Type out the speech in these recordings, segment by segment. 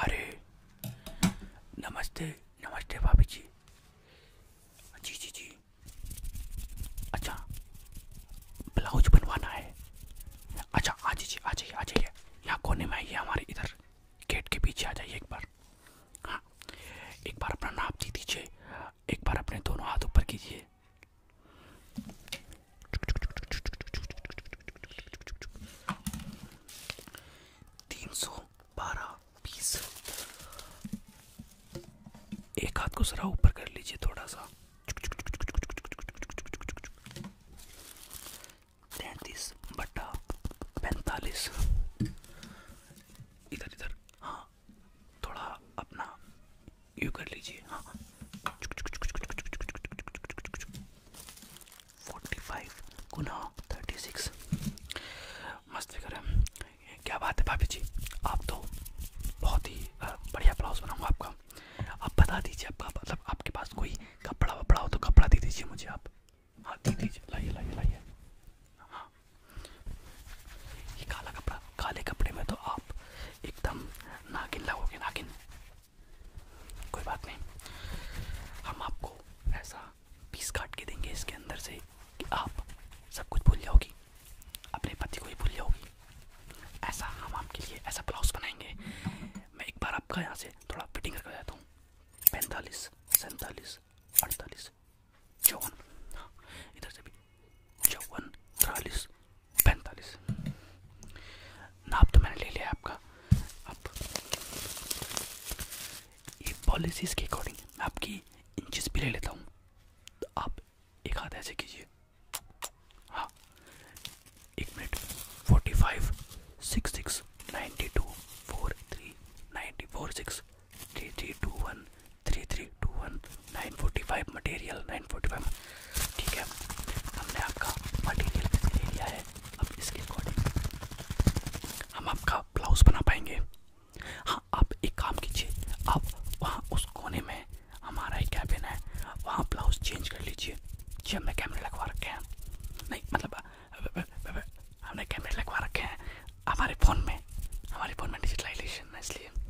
अरे नमस्ते नमस्ते भाभी जी जी जी जी अच्छा ब्लाउज बनवाना है अच्छा आ जाइए आ जाइए आ जाइए यहाँ कोने में आइए हमारे इधर गेट के पीछे आ जाइए एक बार हाँ एक बार अपना नाप दे दीजिए एक बार अपने दोनों हाथ ऊपर कीजिए तीन सौ बारह बीस एक हाथ को जरा ऊपर कर लीजिए थोड़ा सा तैतीस बट्टा पैंतालीस इधर इधर हाँ थोड़ा अपना ये कर लीजिए हाँ फोर्टी फाइव गुना थर्टी सिक्स मस्त फिगर है क्या बात है भाभी जी आप तो बहुत ही बढ़िया ब्लाउज बनाऊंगा आपका आप बता दीजिए आपका मतलब आपके पास कोई कपड़ा वपड़ा हो तो कपड़ा दे दीजिए मुझे आप हाँ दे दीजिए लाइए लाइए लाइए हाँ ये काला कपड़ा काले कपड़े में तो आप एकदम नागिन लगोगे नागिन कोई बात नहीं हम आपको ऐसा पीस काट के देंगे इसके अंदर से कि आप सब कुछ भूल जाओगी अपने पति को ही भूल जाओगी ऐसा हम आपके लिए ऐसा ब्लाउज बनाएंगे मैं एक बार आपका यहाँ से थोड़ा फिटिंग करके जाता हूँ पैंतालीस सैंतालीस अड़तालीस चौवन हाँ, इधर से भी चौवन चालीस पैंतालीस नाप तो मैंने ले लिया आपका अब ये पॉलिसीज़ के अकॉर्डिंग मैं आपकी इंचेस भी ले लेता हूँ तो आप एक हाथ ऐसे कीजिए हाँ एक minute forty five six six ninety two four three ninety four six three three two one three three two one nine forty five material nine forty five ठीक है हमने आपका मटेरियल ले लिया है अब इसके अकॉर्डिंग हम आपका ब्लाउज बना पाएंगे हाँ आप एक काम कीजिए आप वहाँ उस कोने में हमारा एक कैबिन है वहाँ ब्लाउज चेंज कर लीजिए जी हमने कैमरे लगवा रखे हैं नहीं मतलब हमने कैमरे लगवा रखे हैं हमारे फ़ोन में हमारे फ़ोन में डिजिटलाइजेशन है इसलिए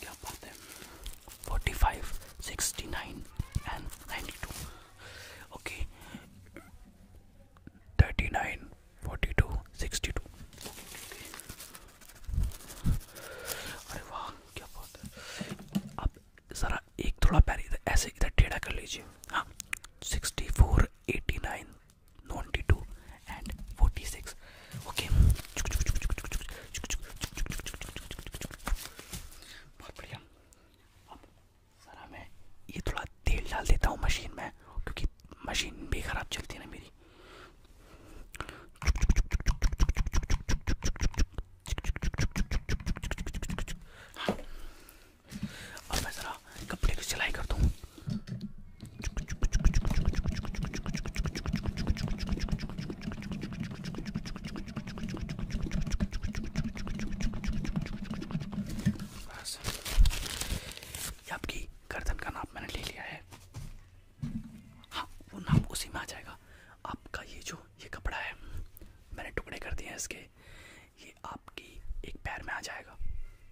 क्या बात है forty five sixty nine and ninety two okay thirty nine forty two sixty two अरे वाह क्या बात है आप ज़रा एक थोड़ा पैर ऐसे इधर टेढ़ा कर लीजिए हाँ sixty four eighty nine 92 and 46 okay बहुत बढ़िया अब जरा मैं ये थोड़ा तेल डाल देता हूँ मशीन में क्योंकि मशीन भी खराब चलती है ना मेरी हाँ। अब मैं ज़रा कपड़े की सिलाई करता हूँ ये आपकी गर्दन का नाप मैंने ले लिया है हाँ वो नाप उसी में आ जाएगा आपका ये जो ये कपड़ा है मैंने टुकड़े कर दिए हैं इसके ये आपकी एक पैर में आ जाएगा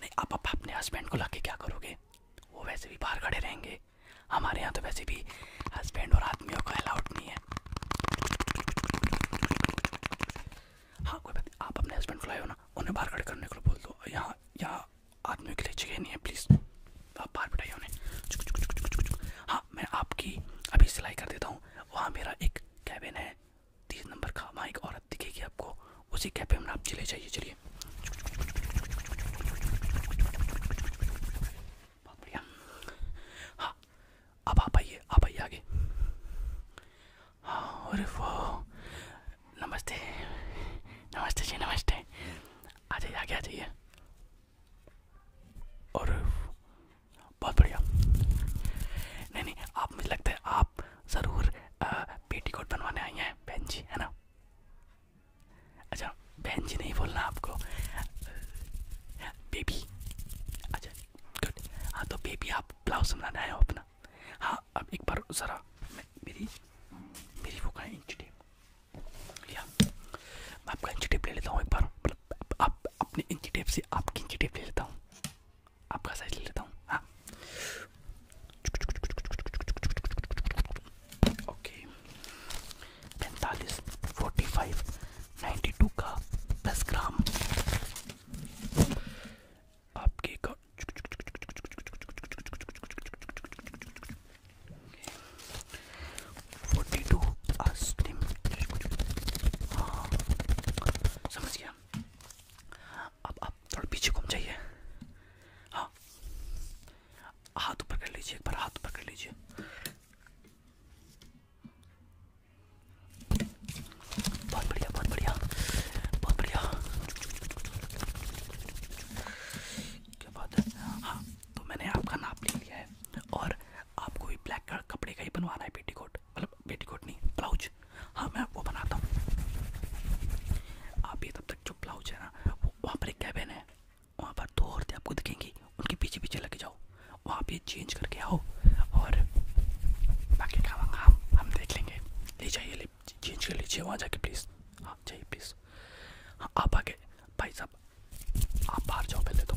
नहीं आप, आप अपने हस्बैंड को ला के क्या करोगे वो वैसे भी बाहर खड़े रहेंगे हमारे यहाँ तो वैसे भी हस्बैंड और आदमियों का अलाउड नहीं है हाँ कोई बात नहीं आप अपने हस्बैंड को लाए हो ना उन्हें बाहर खड़े करने को बोल दो यहाँ यहाँ आदमियों के लिए जगह नहीं है प्लीज़ आप बाहर बैठाइए उन्हें हाँ मैं आपकी अभी सिलाई कर देता हूँ वहाँ मेरा एक कैबिन है तीस नंबर का वहाँ एक औरत दिखेगी आपको उसी कैफे में आप चले जाइए चलिए हाँ अब आप आइए आप आइए आगे हाँ और नमस्ते नमस्ते जी नमस्ते आ जाइए आगे आ जाइए और बहुत बढ़िया नहीं नहीं आप मुझे लगता है आप ज़रूर पेटी कोट बनवाने आई हैं बहन जी है ना अच्छा बहन जी नहीं बोलना आपको बेबी अच्छा गुड हाँ तो बेबी आप ब्लाउज बनाना हो अपना हाँ अब एक बार ज़रा मेरी मेरी वो कहाँ इंच टेप या मैं आपका इंच टेप ले लेता हूँ एक बार मतलब आप अपने इंची टेप से आपकी इंची टेप ले लेता हूँ après ça il les dents. Ah. Okay. पैंतालीस फोर्टी फाइव नाइन्टी टू का दस ग्राम आपके लीजिए अब आप थोड़ा पीछे घूम जाइए हाँ हाथ ऊपर कर लीजिए एक बार हाथ ऊपर कर लीजिए बहुत बढ़िया बहुत बढ़िया बहुत बढ़िया क्या बात है हाँ तो मैंने आपका नाप ले लिया है और आपको भी ब्लैक कपड़े का ही बनवाना है पेटीकोट पेटीकोट मतलब पेटीकोट नहीं ब्लाउज हाँ मैं वो बनाता हूँ आप ये तब तक जो ब्लाउज है ना वो वहाँ पर एक कैबिन है वहाँ पर दो औरतें आपको दिखेंगी उनके पीछे पीछे लगे जाओ वहाँ पे चेंज करके आओ और बाकी काम हम हम देख लेंगे ले जाइए ले चेंज कर लीजिए वहाँ जाके प्लीज़ हाँ चाहिए प्लीज़ हाँ आप आगे भाई साहब आप बाहर जाओ पहले तो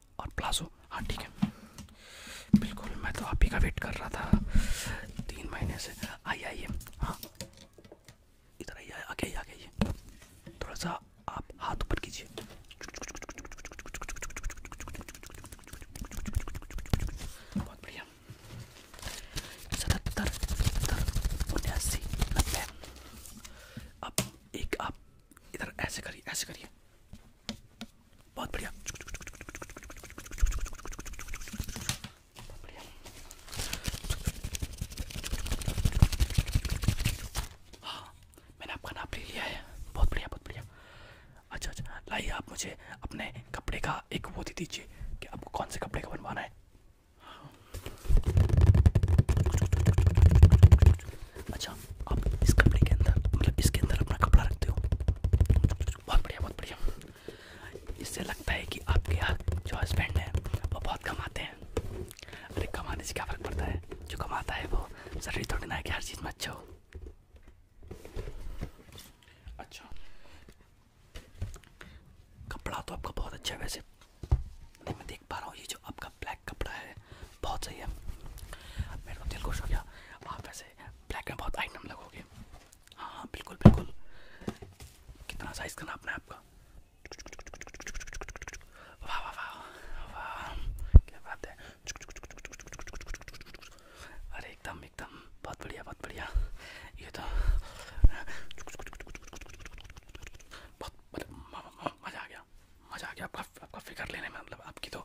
और प्लाजो हाँ ठीक है बिल्कुल मैं तो आप ही का वेट कर रहा था तीन महीने से आइए आइए हाँ इधर आइए आ गई आ गई थोड़ा सा आप हाथ ऊपर कीजिए बहुत बढ़िया अब एक आप इधर ऐसे करिए ऐसे करिए बहुत बढ़िया हाँ मैंने आपका नाप ले लिया है बहुत बढ़िया बहुत बढ़िया अच्छा अच्छा लाइए आप मुझे अपने कपड़े का एक वो दे दीजिए कि आपको कौन से कपड़े का बनवाना है हाँ। अच्छा आप इस कपड़े के अंदर मतलब इसके अंदर अपना कपड़ा रखते हो बहुत बढ़िया बहुत बढ़िया इससे लगता है कि आपके यहाँ जो हस्बैंड हैं वो बहुत कमाते हैं अरे कमाने से क्या फ़र्क पड़ता है जो कमाता है वो जरूरी थोड़ी ना है कि हर चीज़ में अच्छा हो अच्छा कपड़ा तो आपका बहुत अच्छा है वैसे मैं देख पा रहा हूँ ये जो आपका ब्लैक कपड़ा है बहुत सही है मेरे को तो दिल खुश हो गया आप वैसे ब्लैक में बहुत आइटम लगोगे हाँ हाँ बिल्कुल बिल्कुल कितना साइज़ का नापना है आपका वाह वाह वाह वाह क्या बात है अरे एकदम एकदम बहुत बढ़िया बहुत बढ़िया ये तो बहुत मज़ा आ गया मज़ा आ गया आपका आपका फिगर लेने में मतलब आपकी तो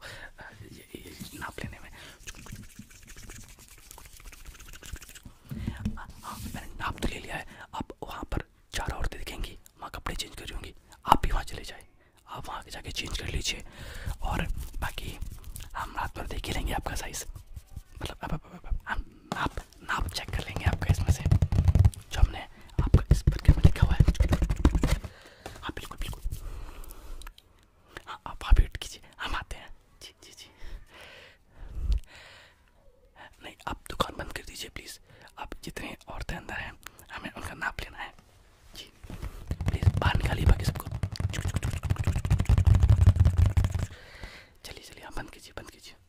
ये, ये, नाप लेने में हाँ, हाँ, मैंने नाप तो ले लिया है आप वहाँ पर चार औरतें दिखेंगी वहाँ कपड़े चेंज कर दूँगी आप भी वहाँ चले जाए आप वहाँ जाके चेंज कर लीजिए और बाकी हम रात भर देख ही लेंगे आपका साइज़ मतलब अब, नाप नाप चेक कर लेंगे आपका इसमें से जो हमने है आपका इस बर्गर में लिखा हुआ है हाँ बिल्कुल बिल्कुल हाँ आप वहाँ वेट कीजिए हम आते हैं जी जी जी नहीं आप दुकान बंद कर दीजिए प्लीज़ आप जितने औरतें अंदर हैं हमें उनका नाप लेना है जी प्लीज़ बाहर निकालिए बाकी सबको चलिए चलिए आप बंद कीजिए बंद कीजिए